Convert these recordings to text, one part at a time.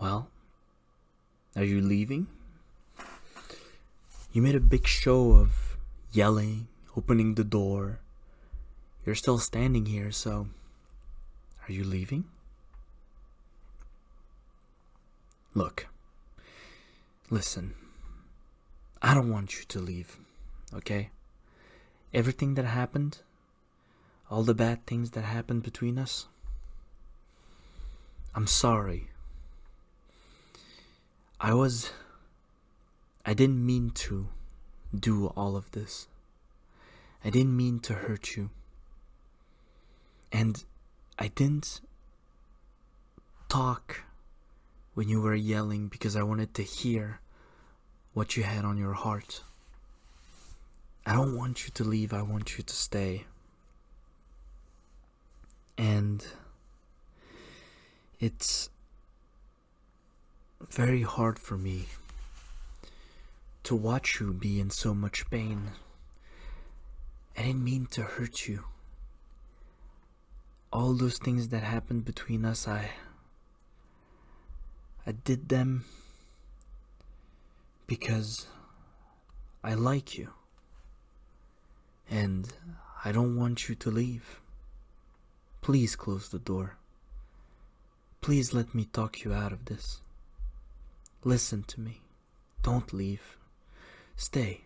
Well, are you leaving? You made a big show of yelling, opening the door. You're still standing here, so are you leaving? Look, listen, I don't want you to leave, okay? Everything that happened all the bad things that happened between us. I'm sorry. I was. I didn't mean to do all of this. I didn't mean to hurt you. And I didn't talk when you were yelling because I wanted to hear what you had on your heart. I don't want you to leave, I want you to stay. And it's very hard for me to watch you be in so much pain. I didn't mean to hurt you. All those things that happened between us, I I did them because I like you and I don't want you to leave. Please close the door. Please let me talk you out of this. Listen to me. Don't leave. Stay.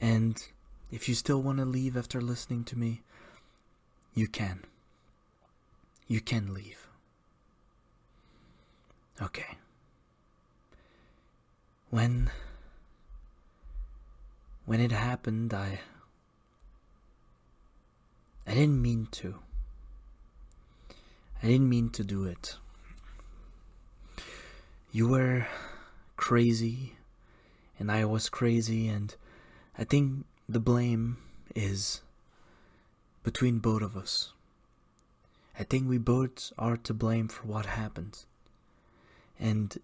And if you still want to leave after listening to me, you can. You can leave. Okay. When when it happened, I I didn't mean to. I didn't mean to do it. You were crazy and I was crazy, and I think the blame is between both of us. I think we both are to blame for what happened. And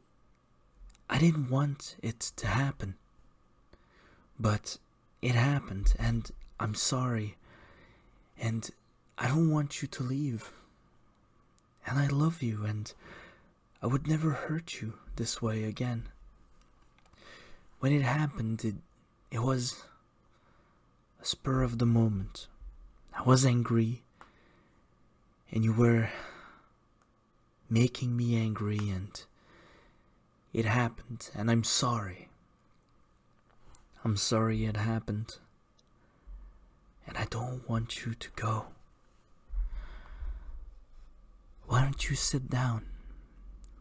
I didn't want it to happen. But it happened, and I'm sorry. And I don't want you to leave and I love you, and I would never hurt you this way again. When it happened, it, it was a spur of the moment. I was angry, and you were making me angry, and it happened, and I'm sorry. I'm sorry it happened, and I don't want you to go. Why don't you sit down?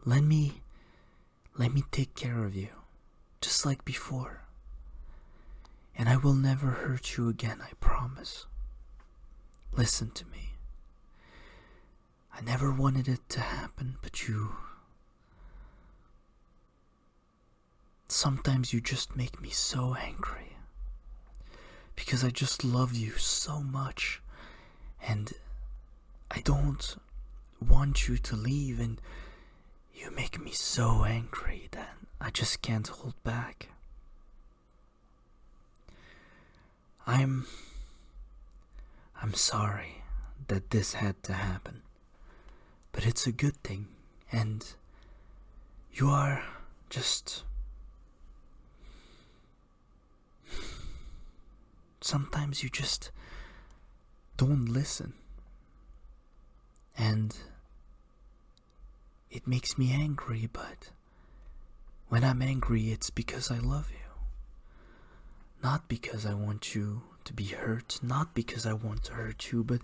Let me let me take care of you, just like before. And I will never hurt you again, I promise. Listen to me. I never wanted it to happen, but you Sometimes you just make me so angry. Because I just love you so much. And I don't want you to leave, and you make me so angry that I just can't hold back. I'm. I'm sorry that this had to happen, but it's a good thing and you are just sometimes you just don't listen and it makes me angry but when i'm angry it's because i love you not because i want you to be hurt not because i want to hurt you but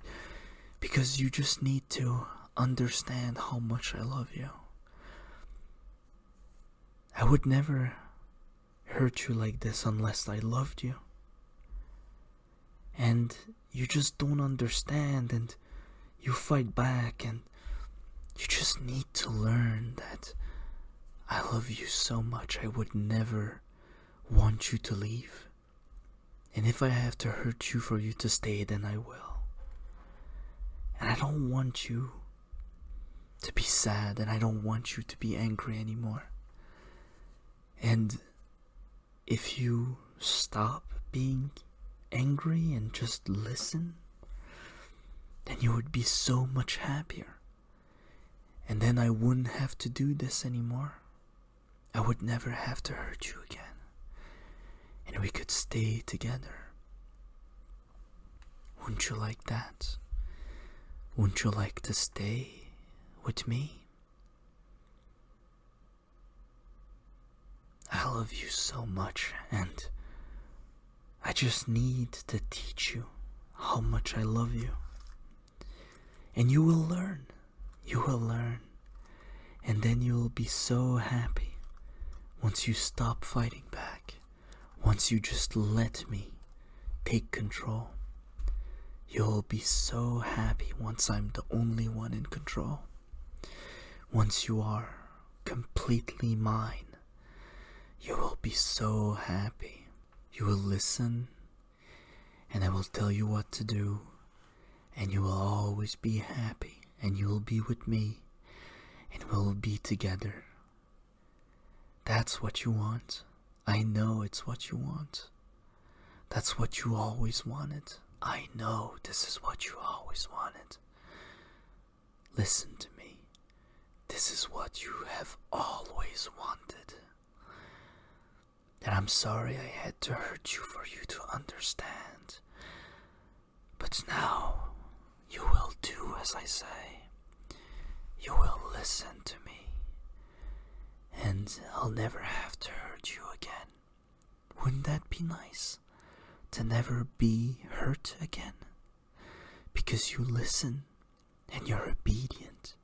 because you just need to understand how much I love you. I would never hurt you like this unless I loved you. And you just don't understand, and you fight back, and you just need to learn that I love you so much, I would never want you to leave. And if I have to hurt you for you to stay, then I will. And I don't want you to be sad, and I don't want you to be angry anymore. And if you stop being angry and just listen, then you would be so much happier. And then I wouldn't have to do this anymore. I would never have to hurt you again. And we could stay together. Wouldn't you like that? Wouldn't you like to stay with me? I love you so much, and I just need to teach you how much I love you. And you will learn. You will learn. And then you will be so happy once you stop fighting back. Once you just let me take control. You'll be so happy once I'm the only one in control. Once you are completely mine, you will be so happy. You will listen and I will tell you what to do, and you will always be happy, and you will be with me, and we'll be together. That's what you want. I know it's what you want. That's what you always wanted. I know this is what you always wanted. Listen to me. This is what you have always wanted. And I'm sorry I had to hurt you for you to understand. But now you will do as I say. You will listen to me. And I'll never have to hurt you again. Wouldn't that be nice? To never be hurt again? Because you listen and you're obedient.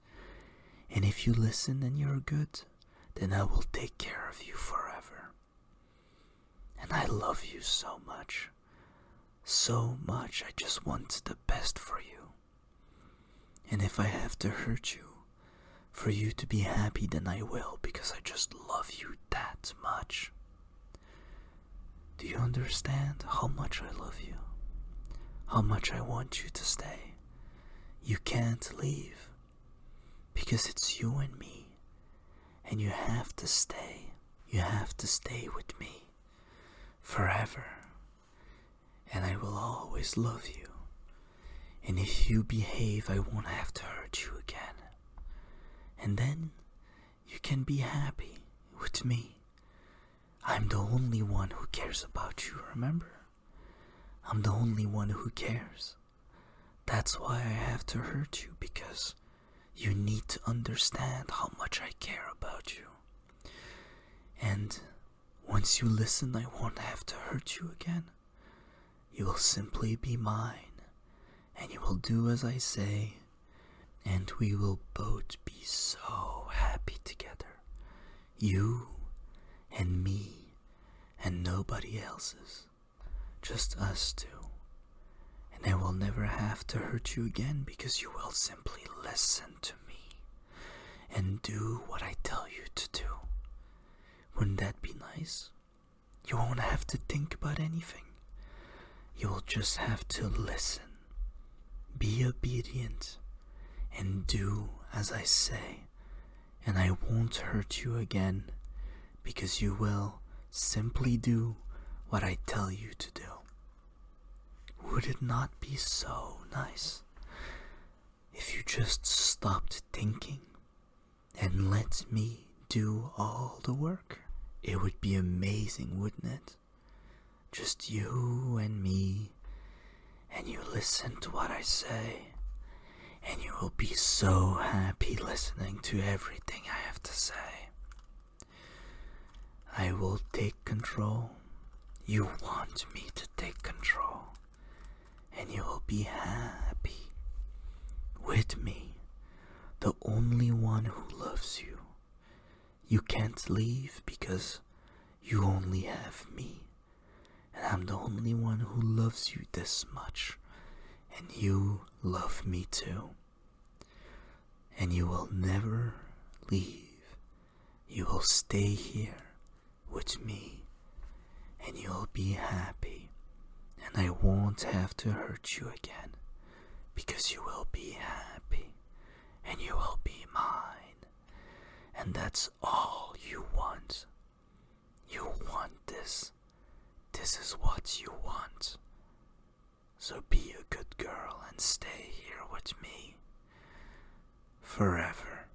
And if you listen and you're good, then I will take care of you forever. And I love you so much. So much, I just want the best for you. And if I have to hurt you, for you to be happy, then I will, because I just love you that much. Do you understand how much I love you? How much I want you to stay? You can't leave because it's you and me, and you have to stay. You have to stay with me forever, and I will always love you. And if you behave, I won't have to hurt you again. And then you can be happy with me. I'm the only one who cares about you, remember? I'm the only one who cares. That's why I have to hurt you because you need to understand how much I care about you. And once you listen, I won't have to hurt you again. You will simply be mine, and you will do as I say, and we will both be so happy together. You and me and nobody else's. Just us two. And I will never have to hurt you again because you will simply listen to me and do what I tell you to do. Wouldn't that be nice? You won't have to think about anything. You'll just have to listen, be obedient, and do as I say. And I won't hurt you again because you will simply do what I tell you to do. Would it not be so nice if you just stopped thinking and let me do all the work. It would be amazing, wouldn't it? Just you and me, and you listen to what I say, and you will be so happy listening to everything I have to say. I will take control. You want me to take control, and you will be happy with me the only one who loves you. You can't leave because you only have me. And I'm the only one who loves you this much. And you love me too. And you will never leave. You will stay here with me. And you'll be happy. And I won't have to hurt you again because you will be happy and you will be mine. And that's all you want. You want this. This is what you want. So be a good girl and stay here with me forever.